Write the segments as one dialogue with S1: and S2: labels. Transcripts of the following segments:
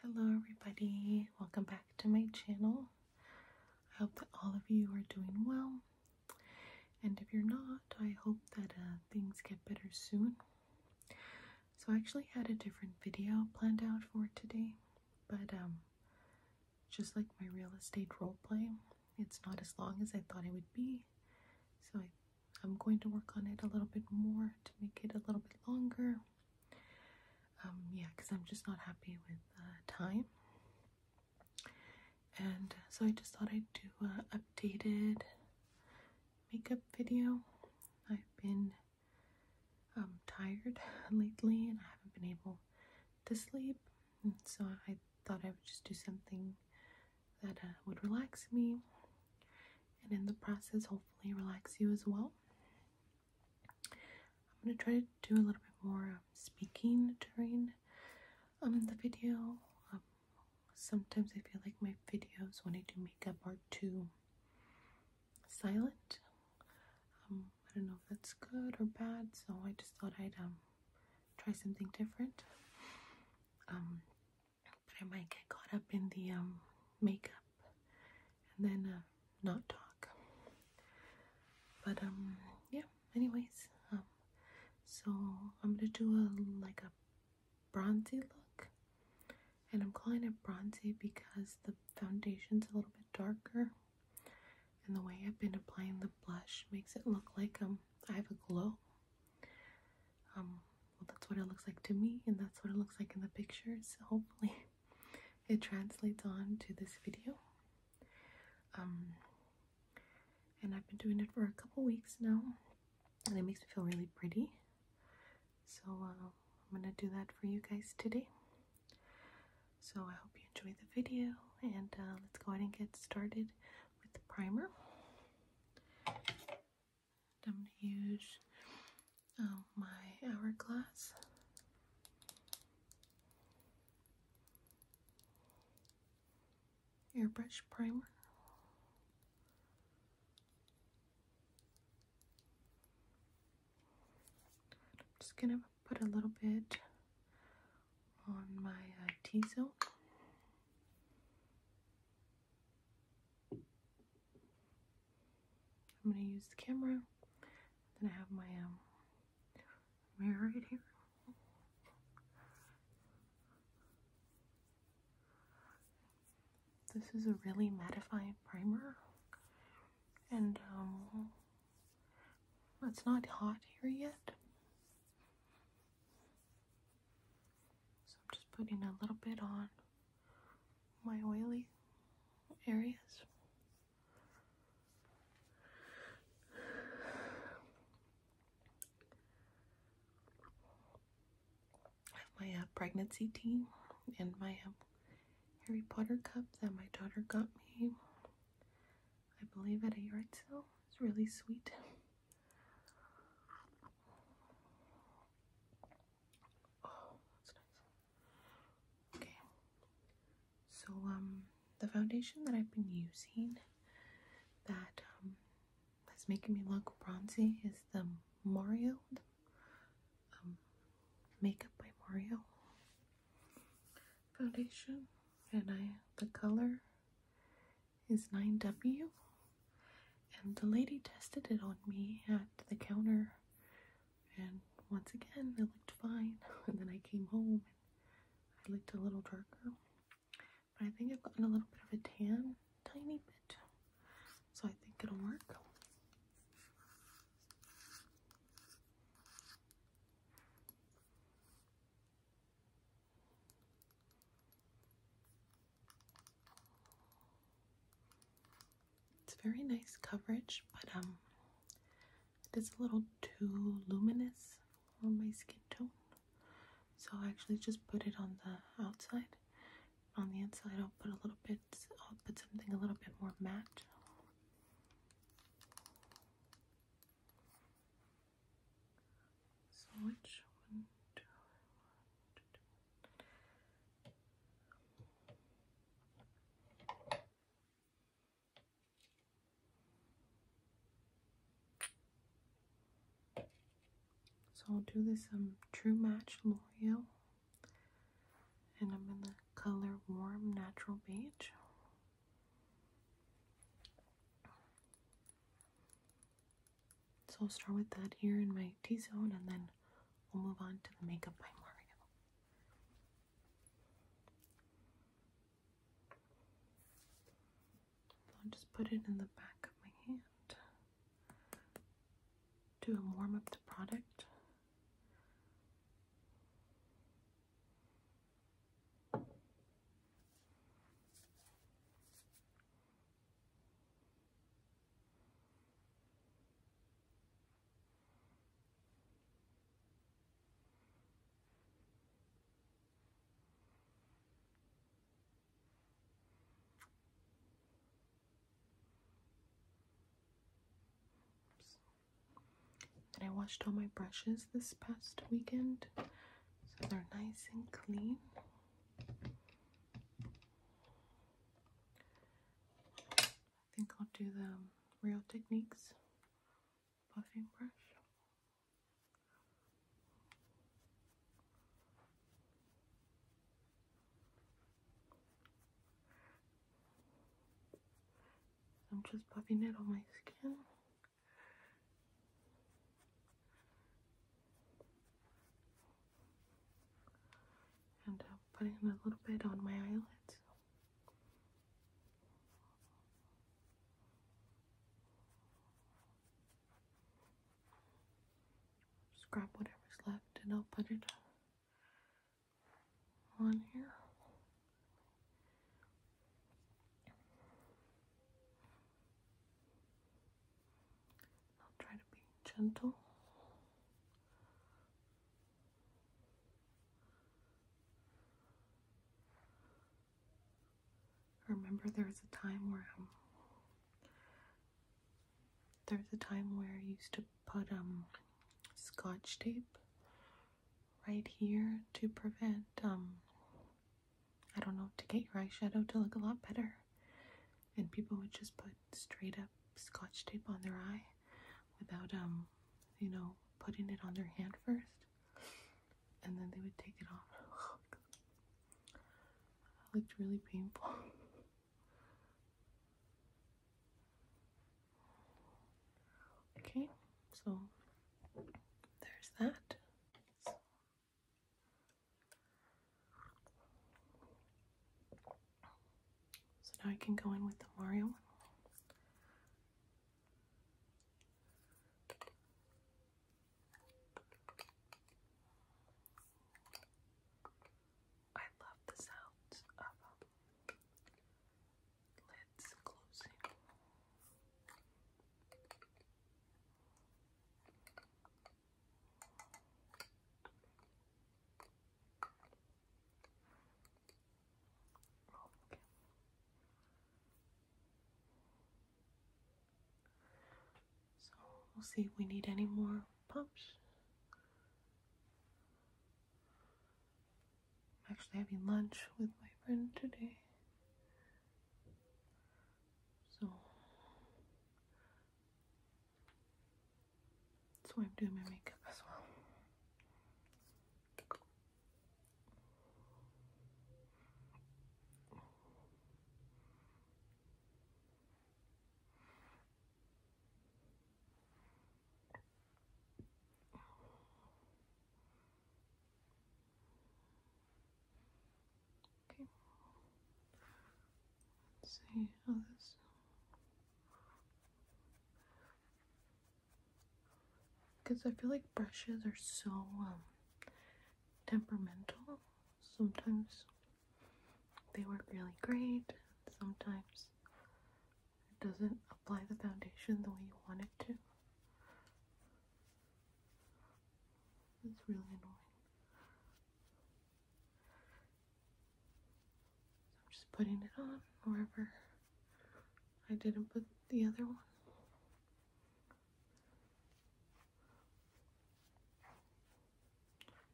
S1: Hello everybody, welcome back to my channel. I hope that all of you are doing well. And if you're not, I hope that uh, things get better soon. So I actually had a different video planned out for today, but um, just like my real estate roleplay, it's not as long as I thought it would be. So I'm going to work on it a little bit more to make it a little bit longer. Um, yeah, because I'm just not happy with uh, time. And uh, so I just thought I'd do an updated makeup video. I've been um, tired lately and I haven't been able to sleep. so I thought I would just do something that uh, would relax me and in the process, hopefully, relax you as well. I'm going to try to do a little bit more um, speaking during um, the video. Um, sometimes I feel like my videos, when I do makeup, are too silent. Um, I don't know if that's good or bad, so I just thought I'd um, try something different but I might get caught up in the um, makeup and then uh, not talk. But um, yeah. Anyways, um, so I'm gonna do a like a bronzy look, and I'm calling it bronzy because the foundation's a little bit darker, and the way I've been applying the blush makes it look like um I have a glow. Um, well, that's what it looks like to me, and that's what it looks like in the pictures. Hopefully, it translates on to this video. Um, and I've been doing it for a couple weeks now, and it makes me feel really pretty. So, uh, I'm gonna do that for you guys today. So, I hope you enjoy the video, and uh, let's go ahead and get started with the primer. I'm gonna use um, my hourglass. Airbrush primer. I'm just gonna put a little bit on my uh, T-zone. I'm gonna use the camera. Then I have my um, mirror right here. This is a really mattifying primer, and um, it's not hot here yet. So I'm just putting a little bit on my oily areas. I have my uh, pregnancy tea and my um, Harry Potter cup that my daughter got me, I believe, at a yard sale. It's really sweet. Oh, okay. So um the foundation that I've been using that um that's making me look bronzy is the Mario um, makeup by Mario foundation and I the color is 9W and the lady tested it on me at the counter, and once again, it looked fine. And then I came home and I looked a little darker. But I think I've gotten a little bit of a tan, tiny bit. So I think it'll work. It's very nice coverage, but um, it is a little too luminous for my skin tone. So I actually just put it on the outside. On the inside, I'll put a little bit, I'll put something a little bit more matte. So which one do I want to do? So I'll do this um True Match L'Oreal and I'm in the color Warm Natural Beige. So I'll start with that here in my T-zone and then we'll move on to the makeup by Mario. I'll just put it in the back of my hand to warm up the product. And I washed all my brushes this past weekend, so they're nice and clean. I think I'll do the Real Techniques puffing brush. I'm just puffing it on my skin and I'm putting a little bit on my eyelids. Just grab whatever's left and I'll put it on here. I'll try to be gentle. Remember, there was a time where um, there was a time where I used to put um scotch tape right here to prevent um I don't know to get your eyeshadow to look a lot better and people would just put straight up scotch tape on their eye without um you know putting it on their hand first and then they would take it off it looked really painful okay so there's that so now I can go in with the Mario I love the sound of um, lids closing. So we'll see if we need any more pumps. actually having lunch with my friend today. So that's why I'm doing my makeup as well. Okay. Let's see how Because I feel like brushes are so um, temperamental. Sometimes they work really great, sometimes it doesn't apply the foundation the way you want it to. It's really annoying. I'm just putting it on wherever I didn't put the other one.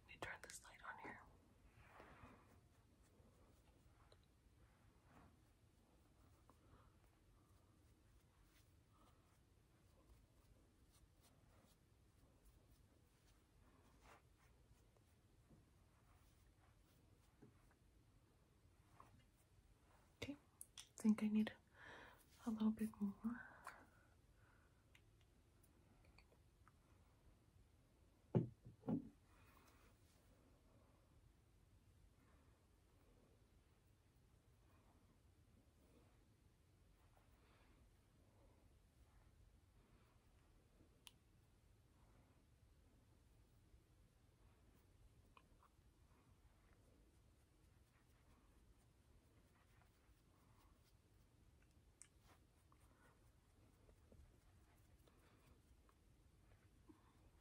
S1: Let me turn this light on here. Okay, I think I need a little bit more.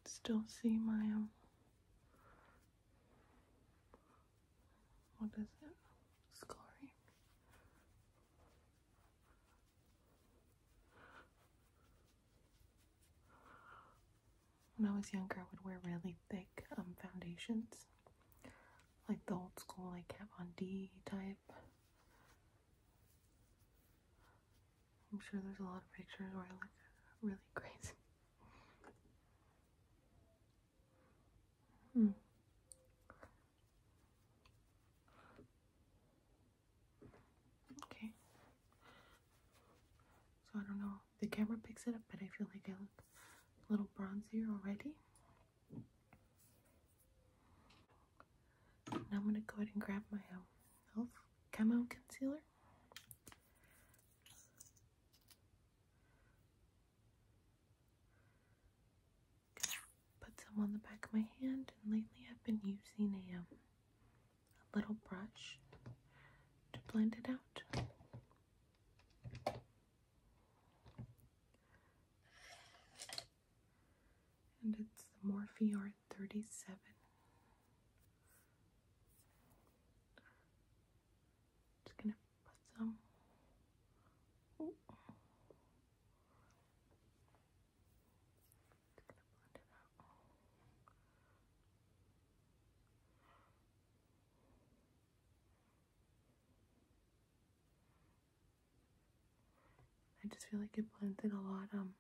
S1: Still see my um, what is it? Scarring. When I was younger, I would wear really thick um, foundations, like the old school, like Kat Von D type. I'm sure there's a lot of pictures where I look really crazy. Hmm. Okay. So I don't know. The camera picks it up, but I feel like I look a little bronzier already. Now I'm gonna go ahead and grab my um, elf camo concealer put some on the back of my hand, and lately I've been using um, a, little brush to blend it out. And it's the Morphe Art 37. Just gonna put some. I just feel like it blends it a lot um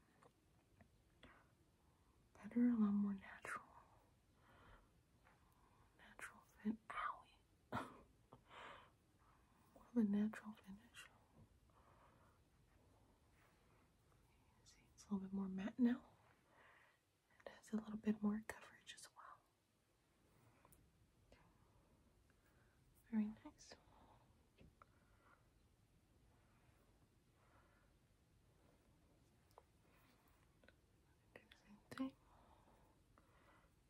S1: better, a lot more natural. Natural fit a natural finish. it's a little bit more matte now. It has a little bit more coverage as well. Very nice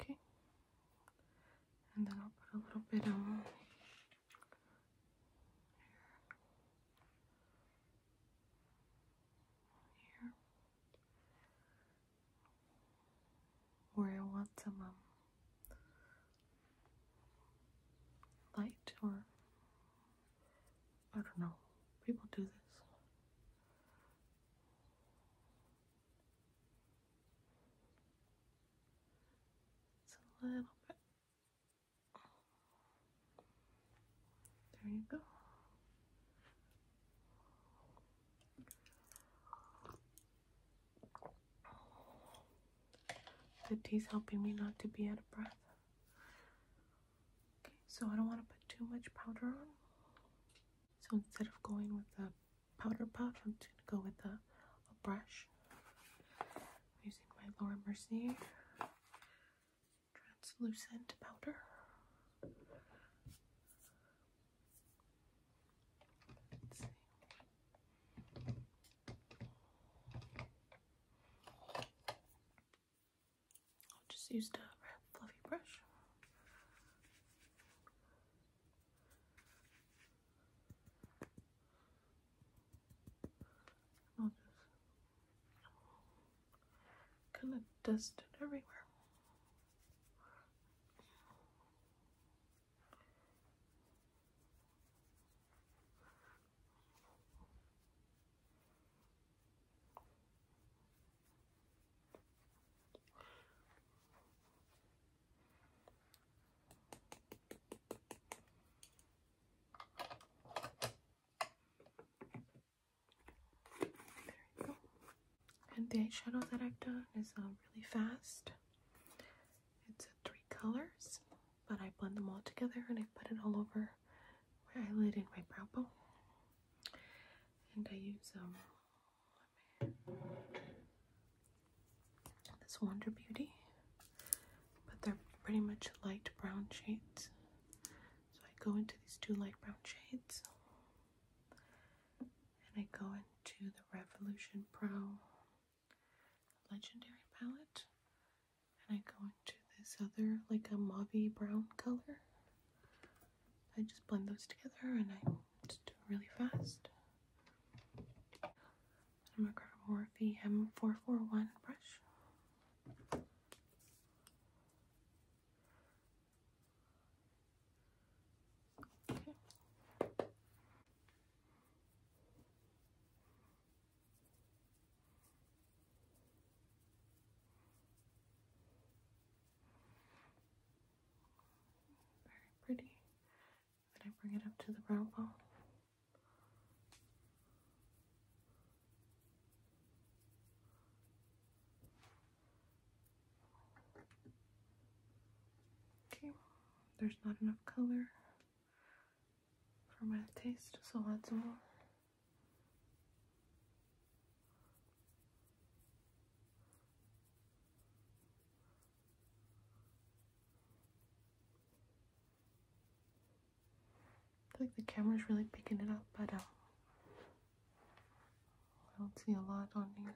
S1: Okay. And then I'll put a little bit on here. Where I want some light or I don't know. People do this. It's a little bit. There you go. The tea's helping me not to be out of breath. Okay, so I don't want to put too much powder on. So instead of going with the powder puff. I'm just gonna go with a, brush. using my Laura Mercier translucent powder. I'll just use the fluffy brush. I'll just kind of dust it everywhere. And the eyeshadow that I've done is uh, really fast. It's uh, three colors, but I blend them all together and I put it all over my eyelid and my brow bone. And I use um, Oh, this Wonder Beauty, but they're pretty much light brown shades. So I go into these two light brown shades, and I go into the Revolution Pro Legendary palette, and I go into this other, like a mauvey brown color. I just blend those together and I just do it really fast. I'm gonna grab a Morphe M441 brush. Very pretty. Then I bring it up to the brow bone. Okay, there's not enough color for my taste, so I'll add some more. I think the camera's really picking it up, but um, I don't see a lot on here.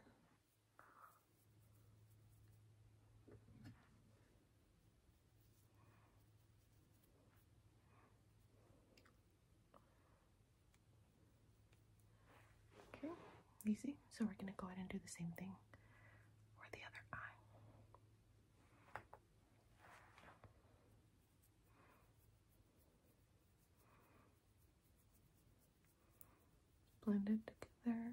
S1: Okay, easy. So we're going to go ahead and do the same thing for the other eye. Blend together.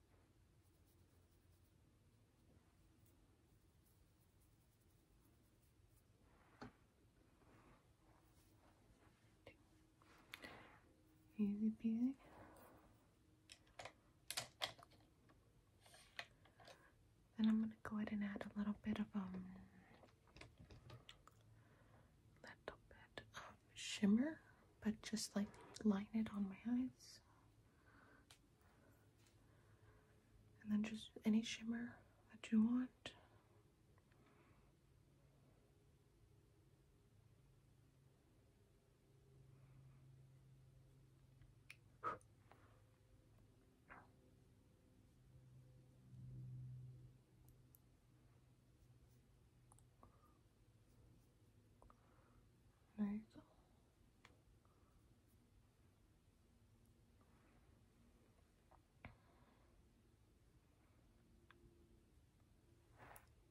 S1: Easy peasy. Then I'm gonna go ahead and add a little bit of a um, little bit of shimmer, but just like line it on my eyes. And then just any shimmer that you want.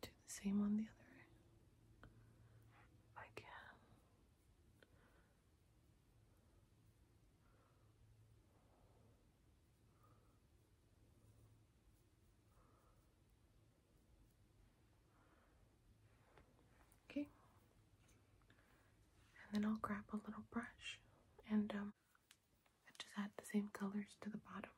S1: Do the same on the other I can. Okay. And then I'll grab a little brush and um, just add the same colors to the bottom.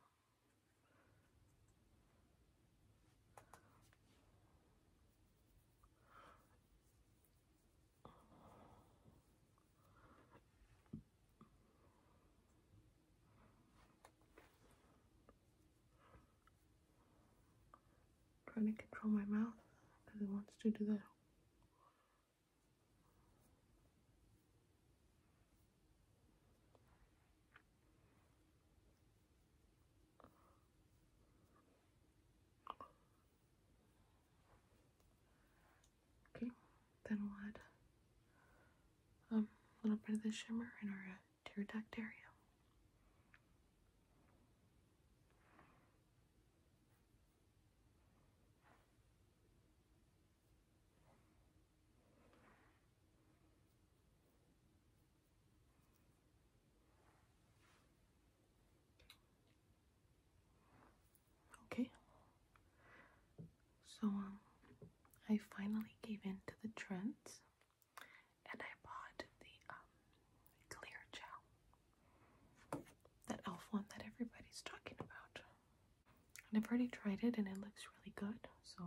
S1: I'm trying to control my mouth because it wants to do that. Okay, then we um, a little bit of the shimmer in our uh, pterodactylium. Okay, so um, I finally gave in to the trends and I bought the um, clear gel, that elf one that everybody's talking about. And I've already tried it and it looks really good, so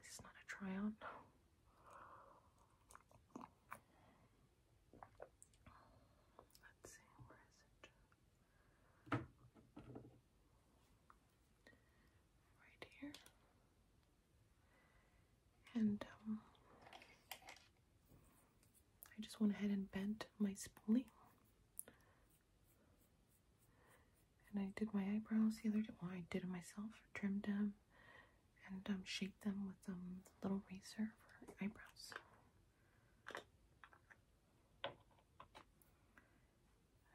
S1: this is not a try on. Let's see, where is it? Right here and um, I just went ahead and bent my spoolie. And I did my eyebrows the other day. Well, I did it myself, trimmed them, and um, shaped them with um, a little razor for eyebrows.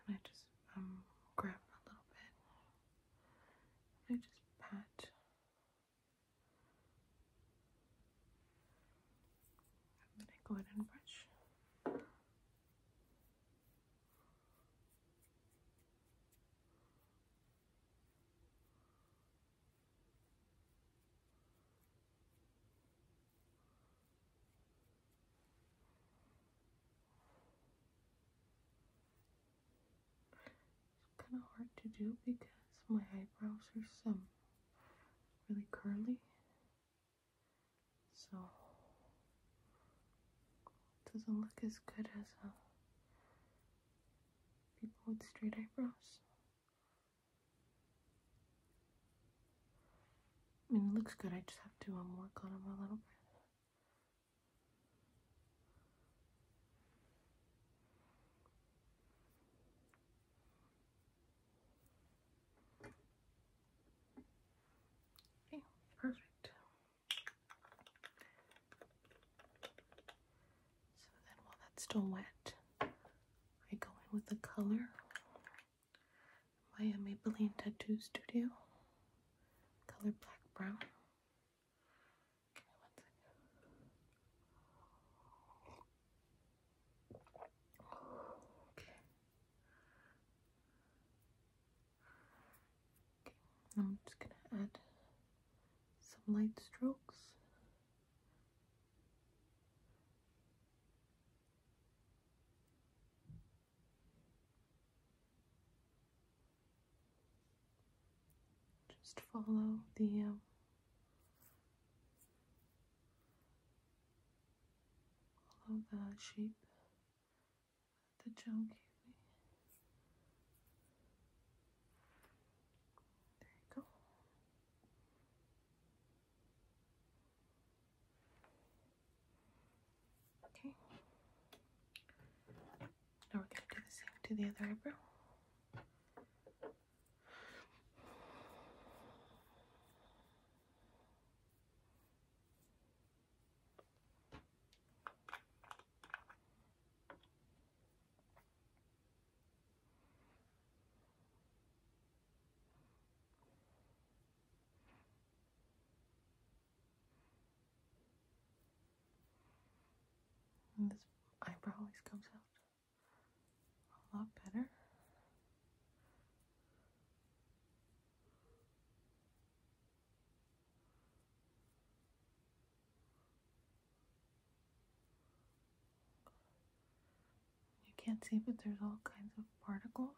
S1: And I just um, a little bit I just pat I'm gonna go ahead and brush it's kind of hard to do because my eyebrows are some really curly. So it doesn't look as good as uh, people with straight eyebrows. I mean, it looks good. I just have to um, work on them a little bit. Okay, perfect. So then while that's still wet, I go in with the color My Maybelline Tattoo Studio color black brown. Okay, I'm just gonna add some light strokes. Just follow the um, follow the shape the gel There you go. Okay. Now we're going to do the same to the other eyebrow this eyebrow always comes out a lot better. You can't see, but there's all kinds of particles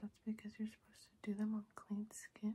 S1: that's because you're supposed to do them on clean skin.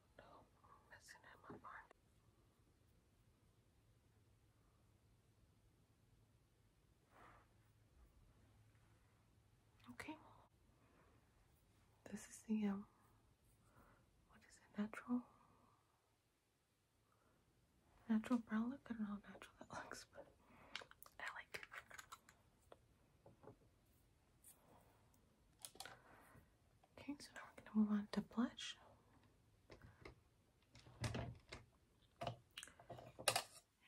S1: No, I'm my mind. Okay. This is the um what is it? Natural natural brown look. I don't know how natural that looks, but I like it. Okay, so now we're going to move on to blush.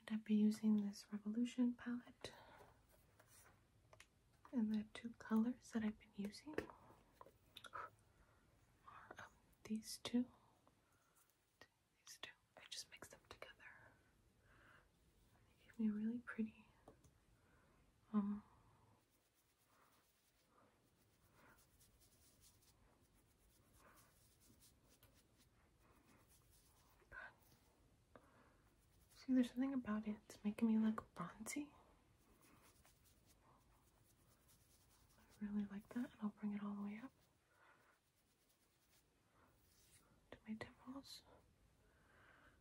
S1: And I'll be using this Revolution palette and the two colors that I've been using are um, these two. These two. I just mixed them together. They gave me a really pretty um, See, there's something about it. It's making me look bronzy. I really like that, and I'll bring it all the way up to my temples.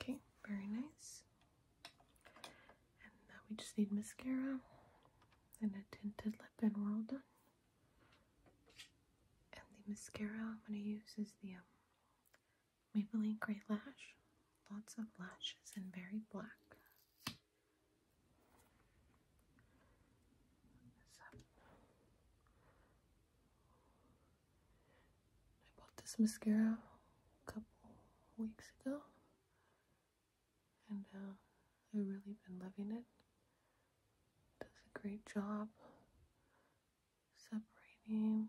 S1: Okay, very nice. And now we just need mascara and a tinted lip, and we're all done. And the mascara I'm going to use is the um, Maybelline Grey Lash. Lots of lashes and very black. I bought this mascara a couple weeks ago, and uh, I've really been loving it. Does a great job separating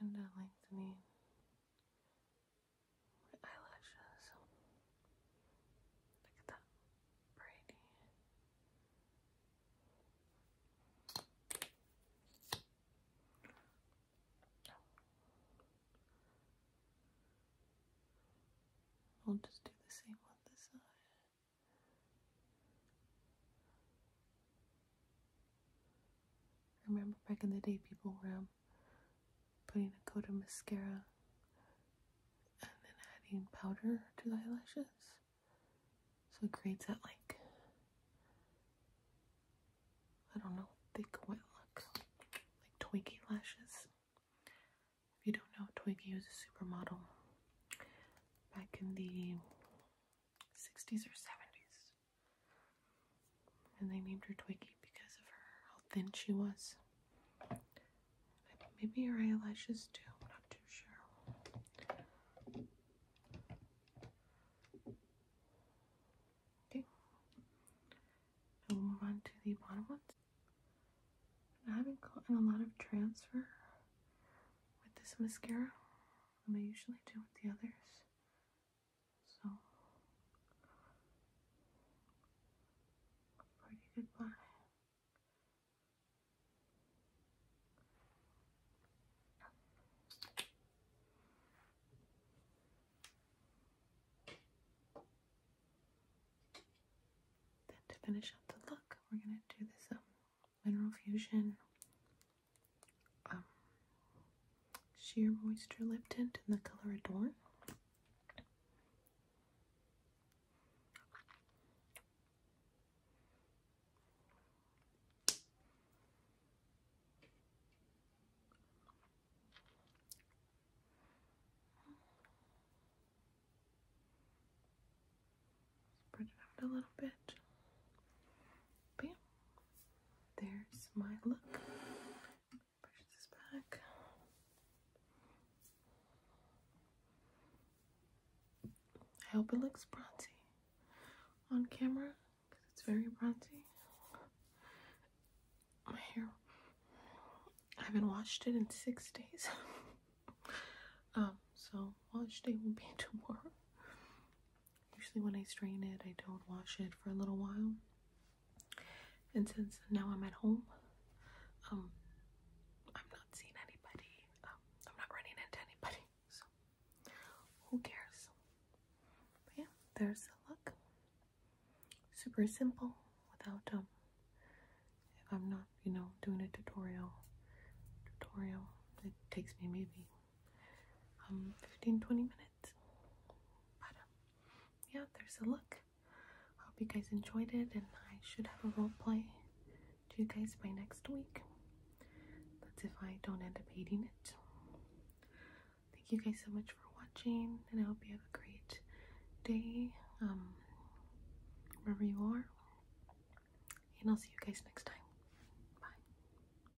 S1: and uh, lengthening my eyelashes. Look at that, Brady. We'll just do the same on this side. I remember back in the day, people were um, putting a coat of mascara and then adding powder to the eyelashes. So it creates that, like, I don't know, thick, wet look. Like Twinkie lashes. If you don't know, twinky was a supermodel back in the 60s or 70s. And they named her Twiggy because of her, how thin she was. Maybe her eyelashes too, I'm not too sure. Okay. We'll move on to the bottom ones. I haven't gotten a lot of transfer with this mascara. I usually do with the others. So, a pretty goodbye. Then to finish up the look, we're gonna do this um, mineral fusion um, sheer moisture lip tint in the color Adorn. Spread it a little bit. Bam there's my look. Push this back. I hope it looks bronzy on camera because it's very bronzy. My hair, I haven't washed it in six days. um, so wash day will be tomorrow. Usually, when I strain it, I don't wash it for a little while. And since now I'm at home, um, I'm not seeing anybody. Um, I'm not running into anybody, so who cares? But yeah, there's the look. Super simple, without um, if I'm not, you know, doing a tutorial, tutorial, it takes me maybe um 15 20 minutes but um, yeah there's a look hope you guys enjoyed it and i should have a role play to you guys by next week that's if i don't end up hating it thank you guys so much for watching and i hope you have a great day um, wherever you are and i'll see you guys next time bye